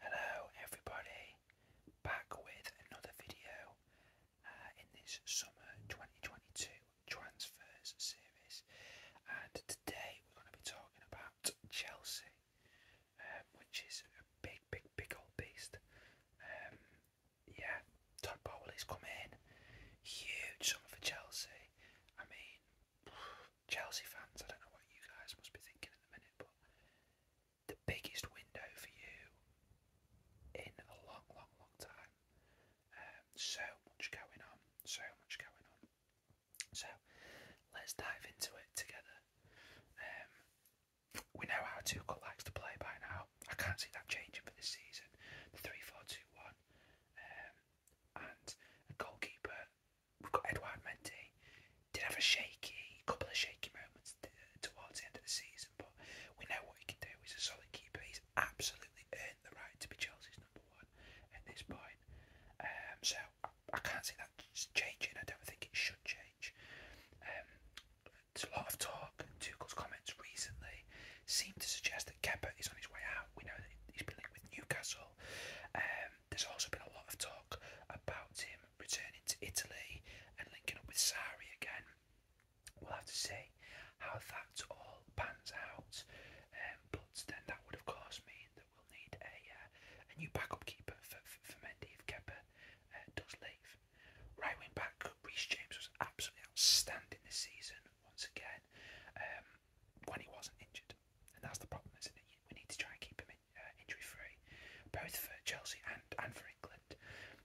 Hello everybody, back with another video uh, in this summer 2022 transfers series and today we're going to be talking about Chelsea um, which is a big big big old beast. Um, yeah, Todd Bowley's come in, huge summer for Chelsea. I mean Chelsea fans, I don't know what you guys must be thinking in the minute, but the biggest window for you in a long, long, long time. Um, so much going on, so much going on. So let's dive into it together. Um, we know how Tuchel likes to play by now. I can't see that changing for this season. The 3 4 2 1. Um, and a goalkeeper We've got Edouard Mendy. Did have a shaky, couple of shaky moments towards the end of the season, but we know what he can do. He's a solid keeper. He's absolutely earned the right to be Chelsea's number one at this point. Um, so I, I can't see that changing. I don't think it should change. Um, there's a lot of talk. Tuchel's comments recently seem to suggest that Kepa is on his way out. We know that he's been linked with Newcastle. Um, there's also been a lot of talk about him returning to Italy and linking up with Sari again. We'll have to see how that all pans out, um, but then that would of course mean that we'll need a, uh, a new backup keeper for, for, Mendy if Kepa uh, does leave. Right wing back, Reece James was absolutely outstanding this season once again um, when he wasn't injured, and that's the problem, isn't it? We need to try and keep him uh, injury free, both for Chelsea and, and for England.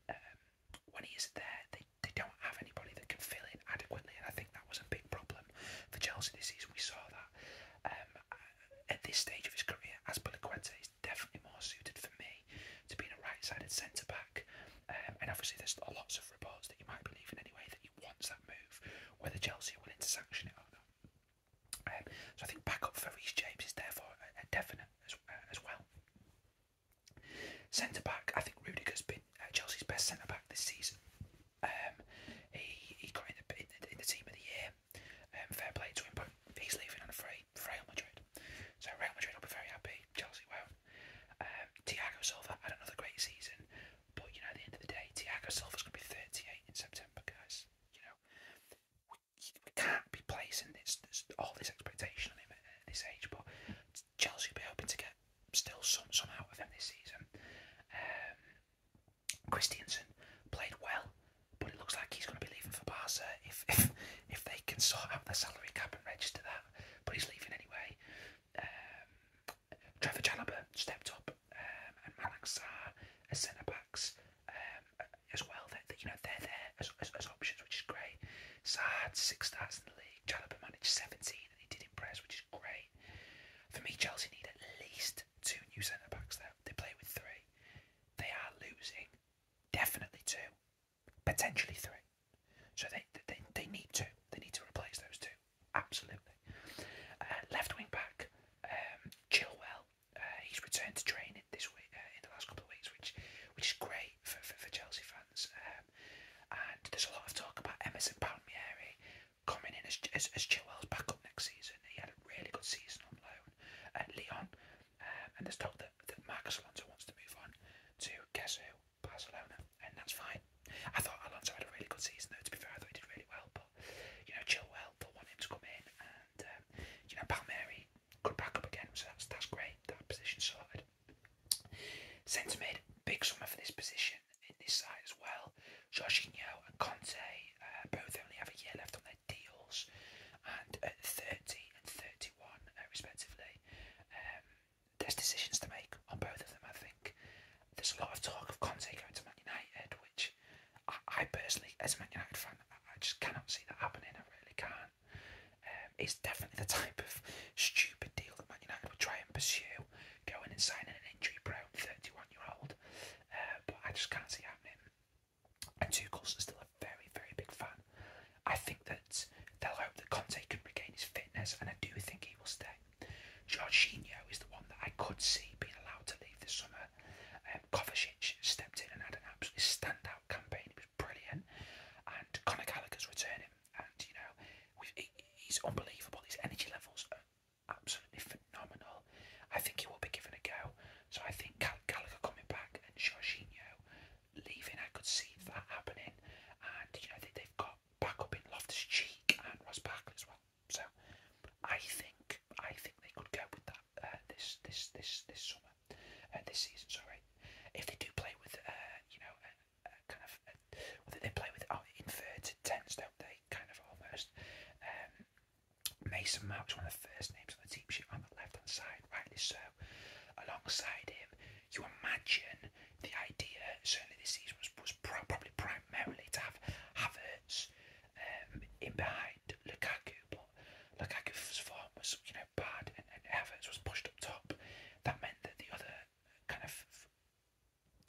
Um, when he is there, they, they don't have anybody that can fill in adequately, and I think that was a big problem for Chelsea this season. We saw that. Um, at this stage of his career, Aspilicueta is definitely more suited for me to being a right-sided centre back, um, and obviously there's lots of reports that you might be leaving anyway, that he wants that move, whether Chelsea will willing sanction it or not so I think backup for Reece James is therefore a, uh, uh, definite as, uh, as well. Centre back, I think Rudiger's been Chelsea's best centre back this season. Um, he he got in the, in the, team of the year. Um, fair play to him, but he's leaving on a free for Real Madrid. So Real Madrid will be very happy. Chelsea well, not Um, Thiago Silva had another great season, but you know at the end of the day, Thiago Silva's going to be 38 in September, guys. You know, we, can't be placing this, all this expectation on him at, this age. But Chelsea will be hoping to get still some some out of him this season. Um, Christiansen played well, but it looks like he's going to be leaving for Barca if if if they can sort out their salary cap and register that. But he's leaving anyway. Um, Trevor Chalobah stepped up um, and Manak as centre backs as well. That you know they're there as, as, options, which is great. Sarr had six starts in the league. Chalobah managed 17, and he did impress, which is great. For me, Chelsea need at least two new centre backs. There, they play with three. They are losing, definitely two, potentially three. So they they they need two. They need to replace those two. Absolutely. Uh, left wing back, um, Chilwell uh, he's returned to training this week uh, in the last couple of weeks, which which is great for for, Chelsea fans. Um, and there's a lot of talk about Emerson Palmieri coming in as as, as Chilwell's backup next season. He had a really good season on loan at Leon, um, and there's talk that that Marcus Alonso wants to move on to guess who Barcelona, and that's fine. I thought Alonso had a really good season though. To be fair, I thought he did really well, but you know Chilwell, they want him to come in and um, you know Palmieri could back up again, so that's that's great. That position sorted. Centre mid, big summer for this position in this side as well. Jorginho and Conte uh, both only have a year left on their deals, and 30 and 31 uh, respectively. Um, there's decisions to make on both of them. I think there's a lot of talk of Conte going to Man United, which I, personally, as a Man United fan, I, just cannot see that happening. I really can't. Um, it's definitely the type of stupid deal that Man United would try and pursue, going and signing an injury-prone 31-year-old. Uh, but I just can't see it happening. And two Tuchel's still a very, very big fan. I think that they'll hope that Conte can regain his fitness, and I do think he will stay. Jorginho is the one that I could see being allowed to leave this summer. Um, Kovacic stepped in and had an absolutely standout campaign. He was brilliant. And Conor Gallagher's returning, and you know, he, he's unbelievable. His energy levels are absolutely phenomenal. I think he will be given a go. So I think Gall- Gallagher coming back and Jorginho leaving, I could see that happening. And you know, they, they've got back up in Loftus Cheek and Ross Barkley as well. So I think I think they could go with that uh, this this this this summer, uh, this season. Sorry, if they do play with uh, you know kind of they play with oh, inverted tens, don't they? Kind of almost. Um, Mason Mount's one of the first names on the team sheet on the left hand side, rightly so. Alongside him, you imagine the idea, certainly this season was, probably primarily to have Havertz, um, in behind Lukaku, but Lukaku's form was you know bad, and, and Havertz was pushed up top. That meant that the other kind of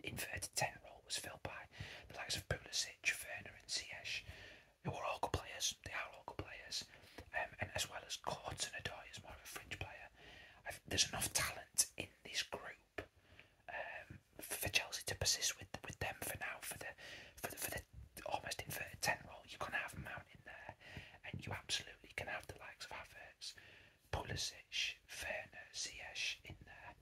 inverted ten role was filled by the likes of Pulisic, Werner, and Ziyech, who are all good players. They are all good players, um, and as well as Courts and Adoy is more of a fringe player. there's enough talent in this group um, for Chelsea to persist with with them for now for the for the, for the almost inverted ten role. You're gonna have Mount in there, and you absolutely can have the likes of Havertz, Pulisic, Werner, Ziyech in there.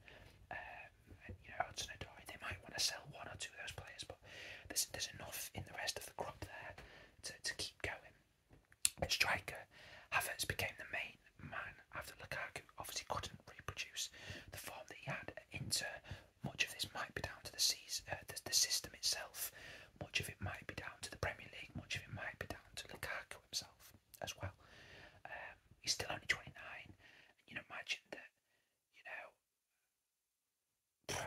Um, and, you know, Hudson Odoi. They might want to sell one or two of those players, but there's there's enough in the rest of the crop there to, to keep going. At striker, Havertz became the main man after Lukaku obviously couldn't reproduce the form that he had at much of this might be down to the, season, uh, the, system itself. Much of it might be down to the Premier League. Much of it might be down to Lukaku himself as well. Um, he's still only 29. you know, imagine that, you know,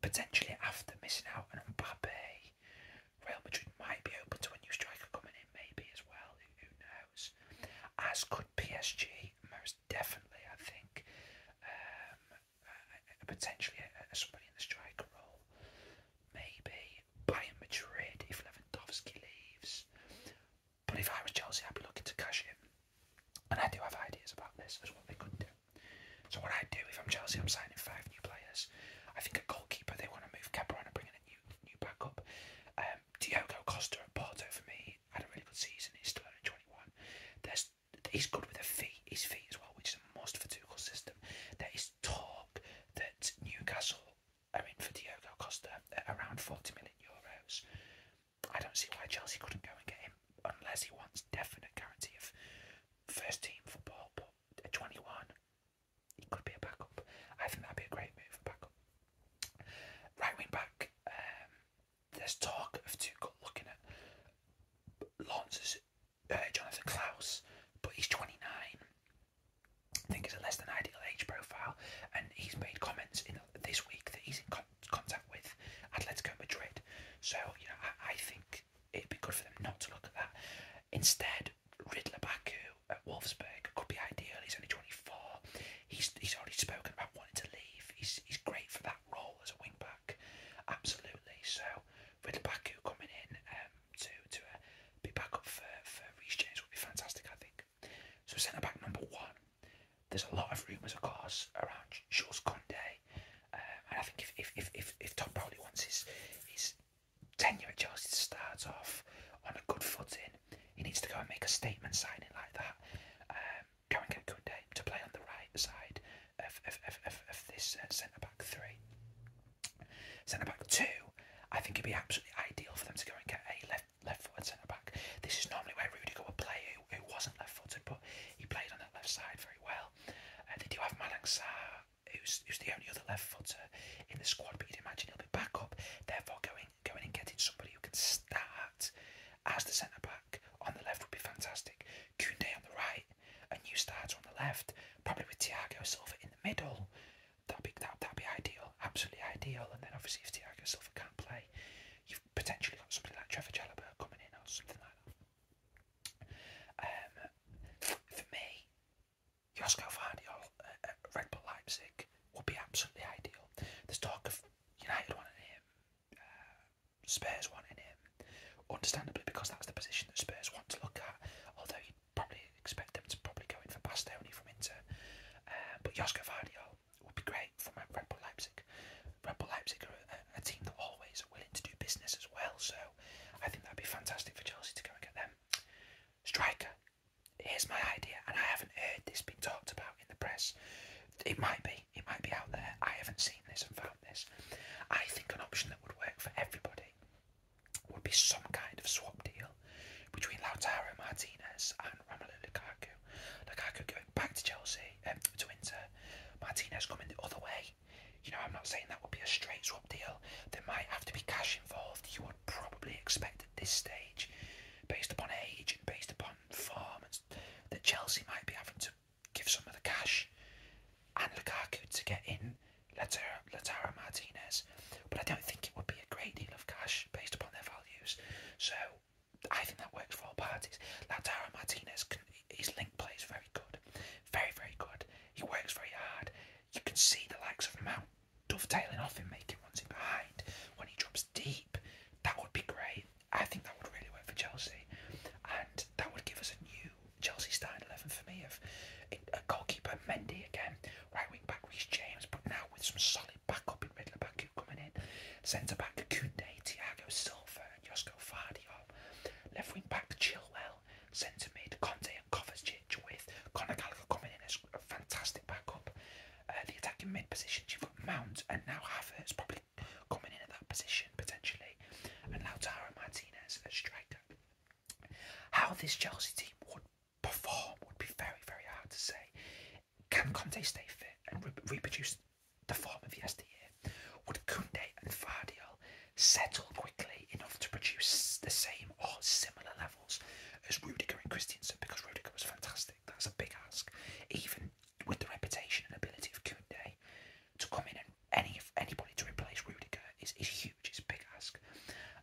potentially after missing out on Mbappe, Real Madrid might be open to a new striker coming in, maybe as well. who knows? As could PSG most definitely, I think, um, potentially somebody in the striker role. Maybe Bayern Madrid if Lewandowski leaves. But if I were Chelsea, I'd be looking to cash in. And I do have ideas about this as what they could do. So what I would do if I'm Chelsea, I'm signing five new players. I think a goalkeeper they want to move Kepa and bring in a new new backup. Um, Diogo Costa at Porto for me had a really good season. He's 21. There's, he's good with the feet, his feet as well, which is a most for system. There is talk that Newcastle are in for Diogo Costa at around 40 million euros. I don't see why Chelsea couldn't go and get him unless he wants definite guarantee of first team football. But at 21, he could be a backup. I think that'd be a great move for backup. Right wing back, um, there's talk of two Tuchel looking at Lance's uh, Jonathan Klaus, but he's 29. I think it's a less than ideal age profile, and he's made comments in this week that he's in contact with Atletico Madrid. So you know, I, think it'd be good for them not to look at that. Instead, Ridler Baku at Wolfsburg could be ideal. He's only 24. He's he's already spoken about wanted to leave. He's, he's great for that role as a wing back, absolutely. So with coming in um, to to uh, be back up for for Reece James would be fantastic, I think. So centre back number one. There's a lot of rumours, of course, around Jules Condé, um, and I think if if if if, if Todd Bowley wants his his tenure at Chelsea to start off on a good footing, he needs to go and make a statement signing like that. Um, Going a good day to play on the right side of, of, of, of, this uh, centre back three. Centre back two, I think it'd be absolutely ideal for them to go and get a left left footed centre back. This is normally where Rudiger would play, who, wasn't left footed, but he played on that left side very well. Uh, they do have Malang Sarr, who's, who's the only other left footer in the squad, but you'd imagine he'll be back up, therefore going going and getting somebody who can start as the centre back on the left would be fantastic. Koundé on the right, a new starter on the left, probably with Thiago Silva in the middle. That'd be that that'd be ideal, absolutely ideal. And then obviously if Thiago Silva can't play, you've potentially got somebody like Trevor Jalabert coming in or something like that. Um, for me, Josko Vardiol at uh, uh, Red Bull Leipzig would be absolutely ideal. There's talk of United wanting him him. Uh, Spurs wanting him, understandably, because that's the position that Spurs want to look at. Although you'd probably expect them to probably go in for Bastoni from Inter. Uh, but Josko Vardiol would be great from Red Bull Leipzig. Red Bull Leipzig are a team that always are willing to do business as well, so I think that'd be fantastic for Chelsea to go and get them. Striker, here's my idea, and I haven't heard this being talked about in the press. It might be, it might be out there. I haven't seen this and found this. I think an option that would work for everybody would be some kind of swap deal between Lautaro Martinez and Romelu Lukaku. Lukaku going back to Chelsea, um, to winter. Martinez coming the other way. You know, I'm not saying that would be a straight swap deal. There might have to be cash involved. You would probably expect at this stage, based upon age and based upon form and that Chelsea might be having to give some of the cash and Lukaku to get in Lautaro Martinez, but I don't think it would be a great deal of cash based upon their values. So I think that works for all parties. Lautaro Martinez, can, his link play is very good, very very good. He works very hard. You can see the likes of Mount dovetailing off him, making ones in behind when he drops deep that would be great. I think that would really work for Chelsea, and that would give us a new Chelsea starting eleven for me of a goalkeeper Mendy again, right wing back Reece James, but now with some solid backup in middle back who coming in, centre back Koundé, Thiago Silva, and Josko Fardiop, left wing back Chillwell. centre mid Conte and Kovacic with Conor Gallagher coming in as a fantastic backup, uh, the attacking mid positions, you've got Mount and now Havertz probably coming in at that position potentially, and Lautaro Martinez as striker. How this Chelsea team would perform would be very, very hard to say. Can Conte stay fit and reproduce the form of yesteryear? Would Kunde and Fardial settle quickly enough to produce the same or similar levels as Rudiger and Christiansen? Because Rudiger was fantastic. That's a big ask. Even with the reputation and ability of Koundé to come in and any anybody to replace Rudiger is, is huge, it's a big ask.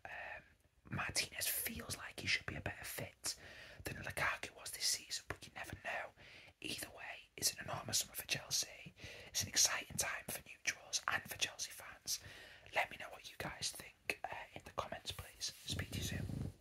Um, Martinez feels like he should be a better fit than Lukaku was this season, but you never know. Either way, it's an enormous summer for Chelsea. It's an exciting time for neutrals and for Chelsea fans. Let me know what you guys think uh, in the comments, please. Speak to you soon.